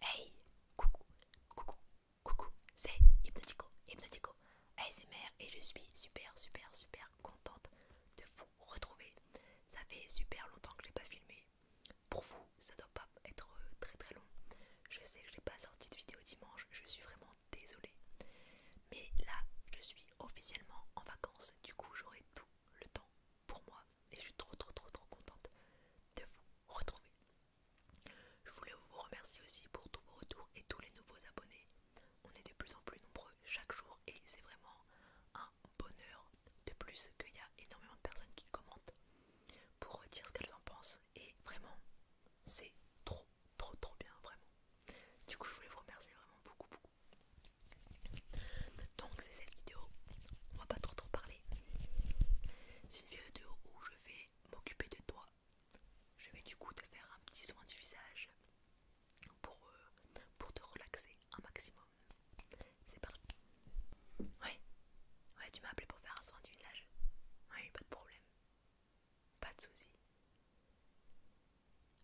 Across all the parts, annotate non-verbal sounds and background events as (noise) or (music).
Hey, coucou, coucou, coucou, c'est Hypnotico, Hypnotico ASMR et je suis super, super, super contente de vous retrouver. Ça fait super longtemps que je n'ai pas filmé. Pour vous, ça doit pas être euh, très très long. Je sais que je n'ai pas sorti de vidéo dimanche, je suis vraiment désolée. Mais là, je suis officiellement en vacances, du coup j'aurai tout le temps pour moi et je suis trop trop trop trop contente de vous retrouver. Je voulais vous remercier aussi pour tous vos retours et tous les nouveaux abonnés. On est de plus en plus nombreux chaque jour et c'est vraiment un bonheur de plus qu'il y a énormément de personnes qui commentent pour dire ce qu'elles en pensent et vraiment c'est trop trop trop bien vraiment. Du coup je voulais vous remercier vraiment beaucoup beaucoup. Donc c'est cette vidéo, on va pas trop trop parler c'est une vidéo où je vais m'occuper de toi. Je vais du coup te faire un petit soin du visage pour, euh, pour te relaxer un maximum. C'est parti. Ouais, ouais, tu m'as appelé pour faire un soin du visage. Oui, pas de problème. Pas de soucis.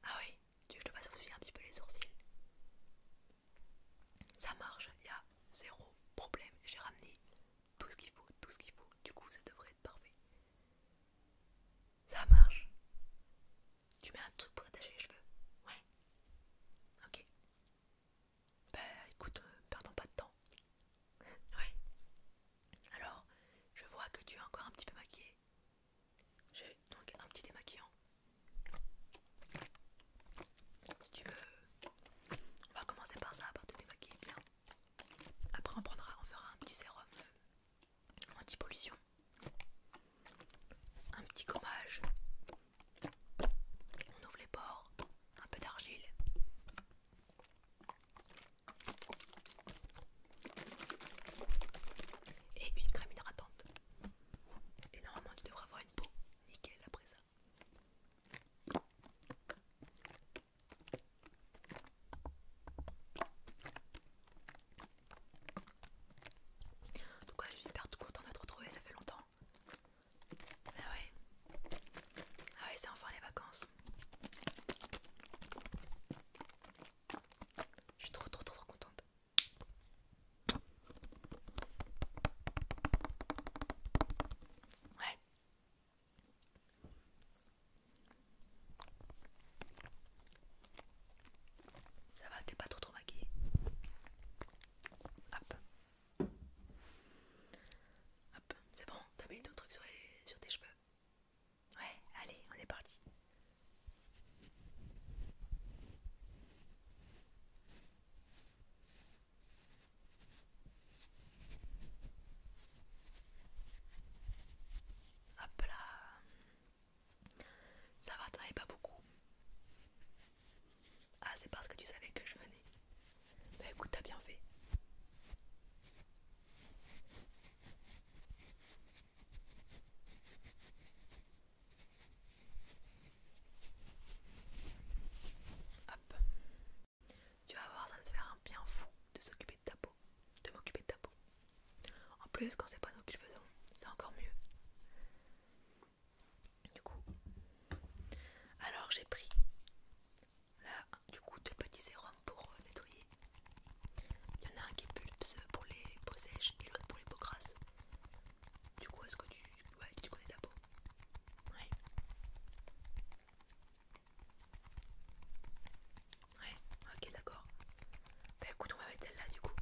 Ah oui, tu veux que je te fasse bouger un petit peu les sourcils Ça marche, il zéro problème, j'ai ramené tout ce qu'il faut, tout ce qu'il faut, du coup ça devrait être parfait. Ça marche Tu mets un truc pour attacher les cheveux Ouais. Ok. Bah écoute, euh, perdons pas de temps. (laughs) ouais. Alors, je vois que tu es encore un petit peu maquillée. J'ai donc un petit démaquillant. Si tu veux, on va commencer par ça, par te démaquiller bien. Après, on prendra, on fera un petit sérum euh, anti-pollution, un petit gommage. On ouvre les pores, un peu d'argile. Et une crème hydratante. Et normalement, tu devras avoir une peau nickel après ça. En tout cas, je suis hyper contente de te retrouver, ça fait longtemps. Ah ouais. Ah ouais, c'est enfin les vacances. Je suis trop trop trop trop contente. Ouais. Ça va, t'es pas trop trop maquillée. Hop. Hop, c'est bon, t'as mis ton truc sur tes cheveux. Ouais, allez, on est parti. Hop là. Ça va, t'en pas beaucoup. Ah, c'est parce que tu savais que je venais. Bah écoute, t'as bien fait. Hop. Tu vas voir, ça va te faire un bien fou de s'occuper de ta peau, de m'occuper de ta peau. En plus, quand c'est pas nous qui le faisons, c'est encore mieux. Du coup, alors j'ai pris là, du coup, deux petits sérums pour euh, nettoyer. Il y en a un qui est euh, pour les peaux sèches et l'autre pour les peaux grasses. Du coup, est-ce que tu, ouais, tu connais ta peau Ouais. Ouais, ok, d'accord. Bah écoute, on va mettre celle-là du coup.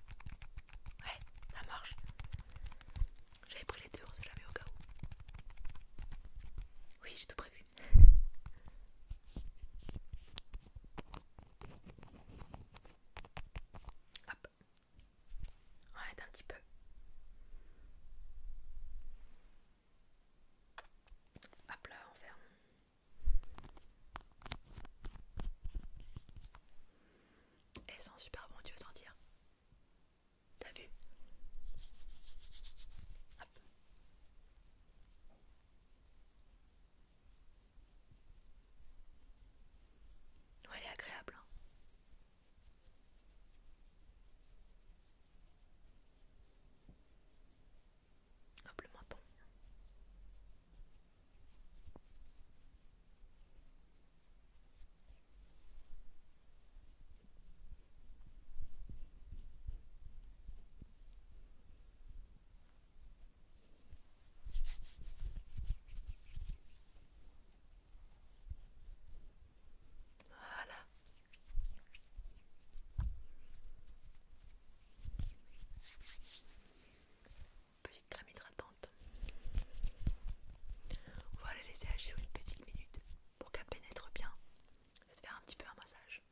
Ouais, ça marche. J'avais pris les deux, on sait jamais au cas où. Oui, j'ai tout prévu. (laughs) Hop. Arrête un petit peu. Hop là, on ferme. Elles sont super bon tu veux sentir T'as vu Ouais, elle est agréable. Hein. Hop Voilà, Petite crème hydratante. On va laisser agir une petite minute pour qu'elle pénètre bien. Je vais faire un petit peu un massage.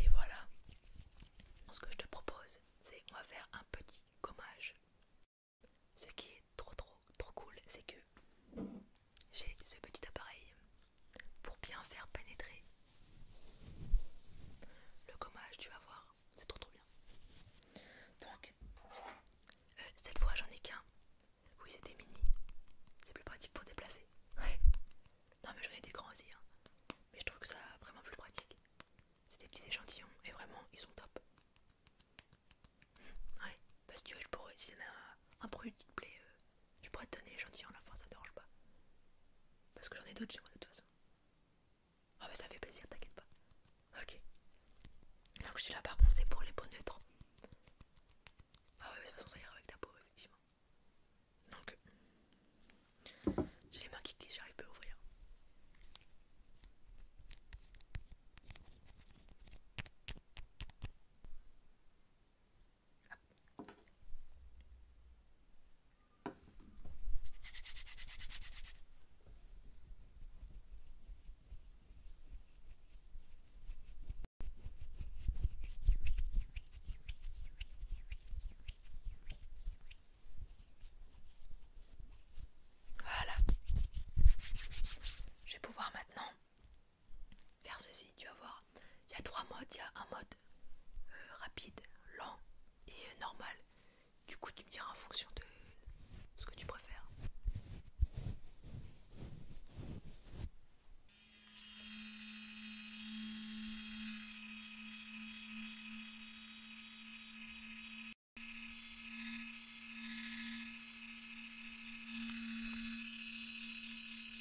Et voilà. Ce que je te propose, c'est qu'on va faire un petit gommage. Ce qui est trop trop trop cool, c'est que j'ai ce petit appareil pour bien faire pénétrer le gommage, tu vas voir, c'est trop trop bien. Donc, euh, cette fois j'en ai qu'un. Oui, c'était mini, c'est plus pratique pour déplacer. Ouais. Non, mais j'en ai des grands aussi, hein. mais je trouve que ça vraiment plus pratique. C'est des petits échantillons et vraiment ils sont top. Ouais, Parce que tu veux, je pourrais, s'il y en a un produit qui te plaît, euh, je pourrais te donner les gentils en la fin, ça te dérange pas. Parce que j'en ai d'autres chez moi de toute façon. Ah, bah ça fait plaisir, t'inquiète pas. Ok. Donc je suis là par contre, c'est pour les peaux neutres. Ah, ouais, mais de toute façon, ça ira avec ta peau, effectivement. Donc, j'ai les mains qui glissent, j'arrive pas à ouvrir. Voilà. Je vais pouvoir maintenant faire ceci, tu vas voir. Il y a trois modes. Il y a un mode euh, rapide, lent et euh, normal. Du coup, tu me diras en fonction de ce que tu préfères.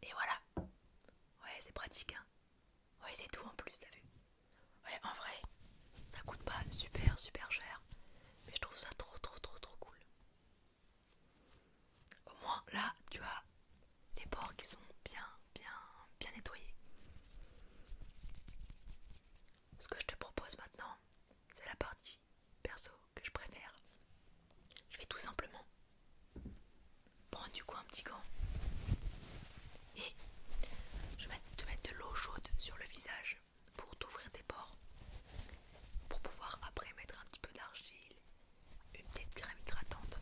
Et voilà. Ouais, c'est pratique. Hein. Ouais, c'est tout en plus, t'as vu. Ouais, en vrai, ça coûte pas super super cher. Mais je trouve ça trop trop trop trop cool. Au moins là, tu as les bords qui sont bien, bien, bien nettoyés. Ce que je te propose maintenant, c'est la partie perso que je préfère. Je vais tout simplement prendre du coup un petit gant et je vais te mettre de l'eau chaude sur le visage pour t'ouvrir tes pores pour pouvoir après mettre un petit peu d'argile une petite crème hydratante.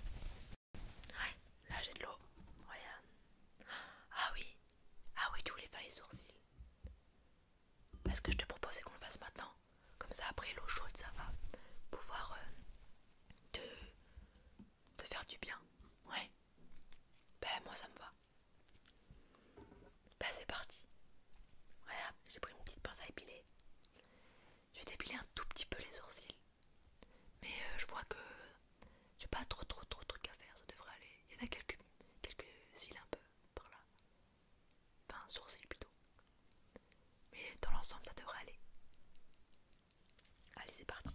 Ouais, là j'ai de l'eau. Ah oui, ah oui, tu voulais faire les sourcils. Parce que je te propose qu'on le fasse maintenant. Comme ça, après l'eau chaude, ça va pouvoir euh, te faire du bien. Ouais. Ben moi ça me va. Bah c'est parti. Ah, j'ai pris une petite pince à épiler. Je vais dépiler un tout petit peu les sourcils. Mais euh, je vois que j'ai pas trop trop trop de trucs à faire, ça devrait aller. Il y en a quelques, quelques cils un peu par là. Enfin, sourcils plutôt. Mais dans l'ensemble, ça devrait aller. Allez, c'est parti.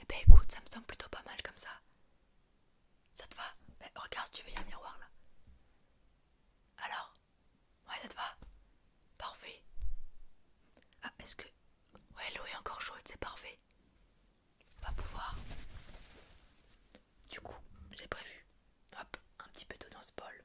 Eh ben écoute, ça me semble plutôt pas mal comme ça. Ça te va Mais ben, Regarde, si tu veux, y a un miroir là. Alors Ouais, ça te va Parfait. Ah, est-ce que... Ouais, l'eau est encore chaude, c'est parfait. On va pouvoir... Du coup, j'ai prévu. Hop, un petit peu d'eau dans ce bol.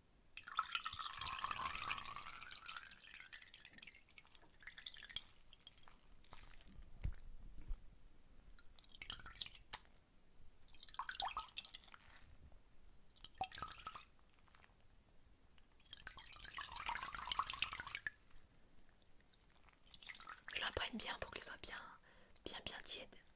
Je l'apprenne bien pour qu'il soit bien, bien, bien tiède.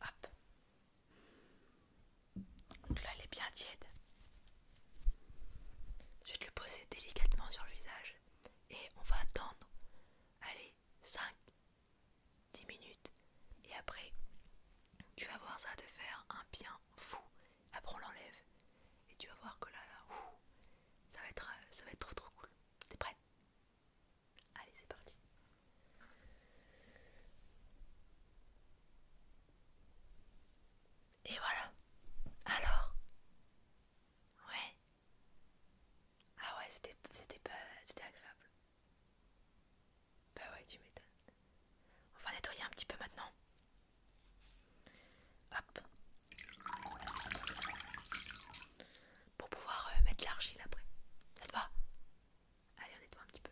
Hop. Donc là, elle est bien tiède. Je vais te le poser délicatement sur le visage et on va attendre. Allez, 5, 10 minutes. Et après, tu vas voir ça te faire un bien fou. Après, on l'enlève. Et tu vas voir que là, ouh, ça va être, euh, ça va être trop trop cool. T'es prête Allez, c'est parti. Et voilà. Alors Ouais. Ah ouais, c'était c'était pas c'était agréable. Bah ouais, tu m'étonnes. On va nettoyer un petit peu maintenant. Hop. Pour pouvoir euh, mettre l'argile après. Ça te va Allez, on nettoie un petit peu.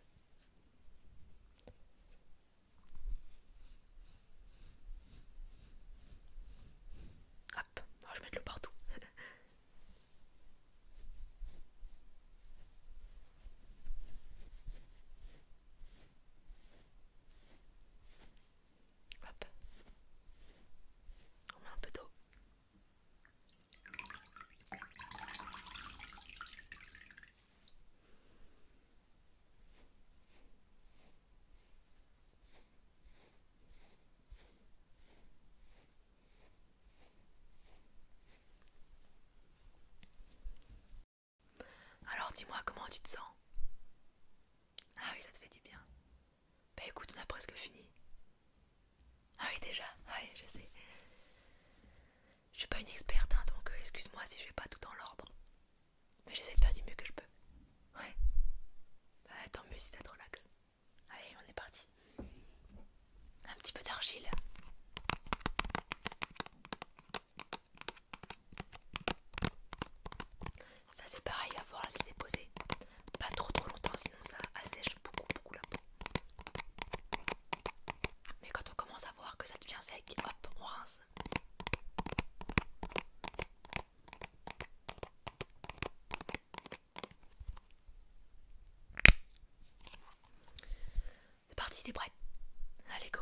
Hop, oh, je mets de l'eau partout. Hop. On met un peu d'eau. Alors dis-moi comment tu te sens ah oui, ça te fait du bien. Bah écoute, on a presque fini. Ah oui, déjà, Oui, je sais. Je suis pas une experte, hein, donc euh, excuse-moi si je vais pas tout dans l'ordre. Mais j'essaie de faire du mieux que je peux. Ouais. Bah tant mieux si ça te relaxe. Allez, on est parti. Un petit peu d'argile. Ça c'est pareil, à voir laisser poser. Pas trop trop longtemps, sinon ça assèche beaucoup beaucoup la peau. Mais quand on commence à voir que ça devient sec, hop, on rince. C'est parti, t'es prête Allez, go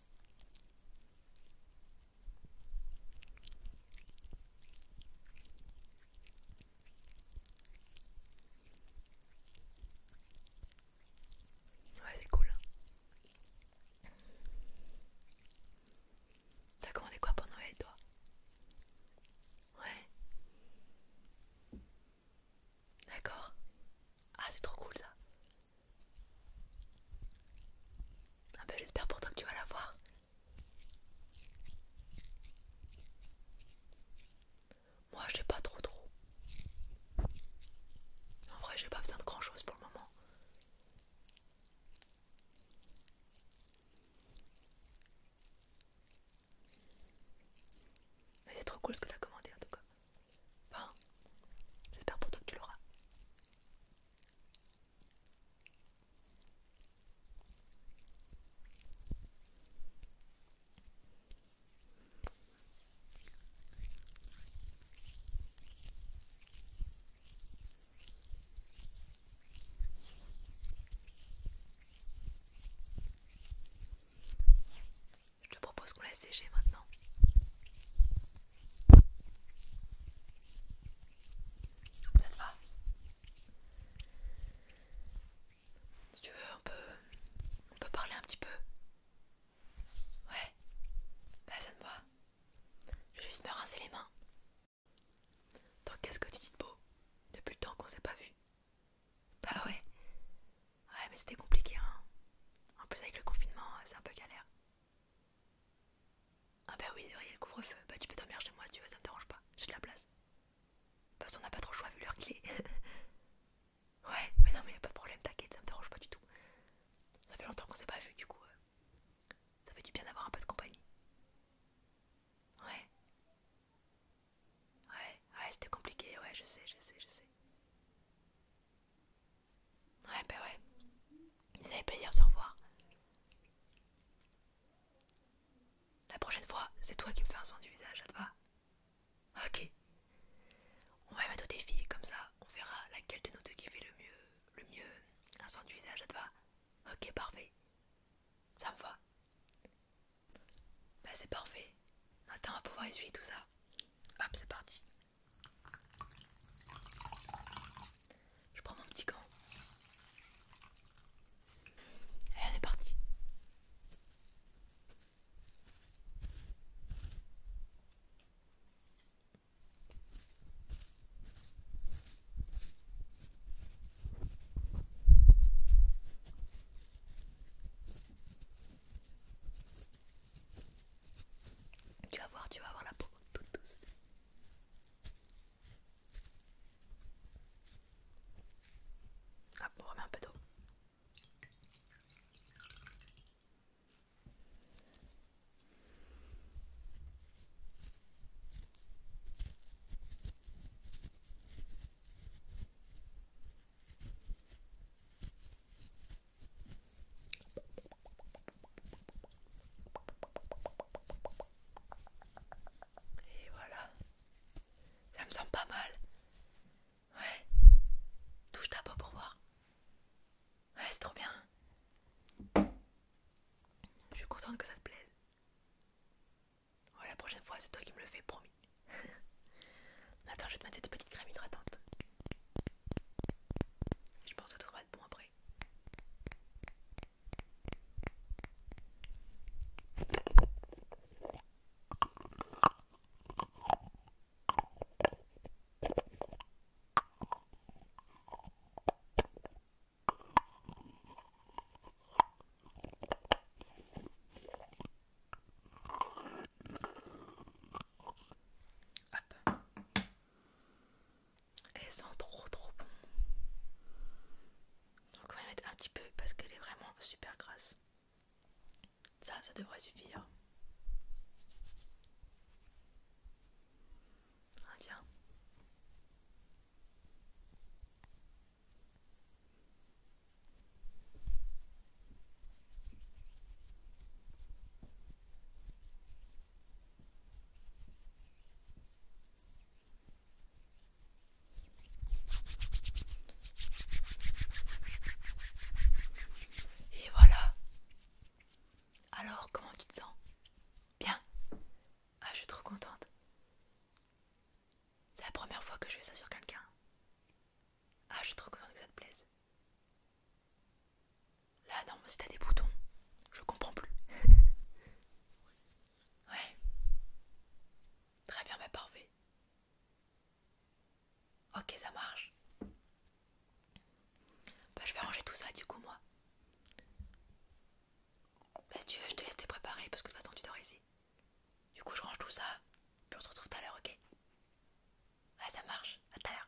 Ouais, c'est cool. Hein. T'as commandé quoi pour Noël, toi Ouais. D'accord. Ah, c'est trop cool ça. Ah bah j'espère pour toi que tu vas la voir. Moi j'ai pas trop trop. En vrai j'ai pas besoin de grand chose pour le moment. Mais c'est trop cool ce que t'as commandé en tout cas. Bon, j'espère pour toi que tu l'auras. Je te propose qu'on laisse sécher maintenant. Ça va tu veux, on peut, on peut parler un petit peu. Ouais, bah ça ne va. Je vais juste me rincer les mains. Donc qu'est-ce que tu dis de beau Depuis le temps qu'on s'est pas vu. Bah ouais. Ouais mais c'était compliqué hein. En plus avec le confinement, c'est un peu galère. Ah bah oui, il y a le couvre-feu. Bah tu peux dormir chez moi si tu veux, ça me dérange pas. J'ai de la place. Parce qu'on on n'a pas trop le choix vu l'heure qu'il est. (laughs) ouais, mais non, mais y a pas de problème, t'inquiète, ça me dérange pas du tout. Ça fait longtemps qu'on s'est pas vu, du coup. Euh, ça fait du bien d'avoir un peu de compagnie. Ouais. Ouais, ouais, c'était compliqué, ouais, je sais, je sais, je sais. Ouais, bah ouais. ça fait plaisir de se revoir. La prochaine fois, c'est toi qui me fais un son du visage, à toi Ok. On va mettre au défi, comme ça, on verra laquelle de nos deux qui fait le mieux, le mieux un son du visage, à te va Ok, parfait. Ça me va. Ben c'est parfait. Maintenant on va pouvoir essuyer tout ça. Hop, c'est parti. Je prends mon petit gant. Et on est parti. Tu vas voir, tu vas voir la peau toute douce. Hop, ah, on remet un peu d'eau. Et voilà. Ça me semble pas mal. Ouais. Touche ta peau pour voir. Ouais, c'est trop bien. Je suis contente que ça te plaise. la prochaine fois, c'est toi qui me le fais, promis. (laughs) Attends, je vais te mettre cette petite crème hydratante. Je pense que après. Elle sent trop trop bon. Donc on va mettre un petit peu parce qu'elle est vraiment super grasse. Ça, ça devrait suffire. Ah, tiens. Et voilà. Alors, comment tu te sens Bien. Ah, je suis trop contente. C'est la première fois que je fais ça sur quelqu'un. Ah, je suis trop contente que ça te plaise. Là non, mais t'as des boutons, je comprends plus. (laughs) ouais. Très bien, bah parfait. Ok, ça marche. Bah je vais ranger tout ça du coup moi. Bah, tu veux, je te laisse te préparer parce que de toute façon tu dois ici. Du coup je range tout ça, puis on se retrouve tout à l'heure, ok Ah ça marche, à tout à l'heure.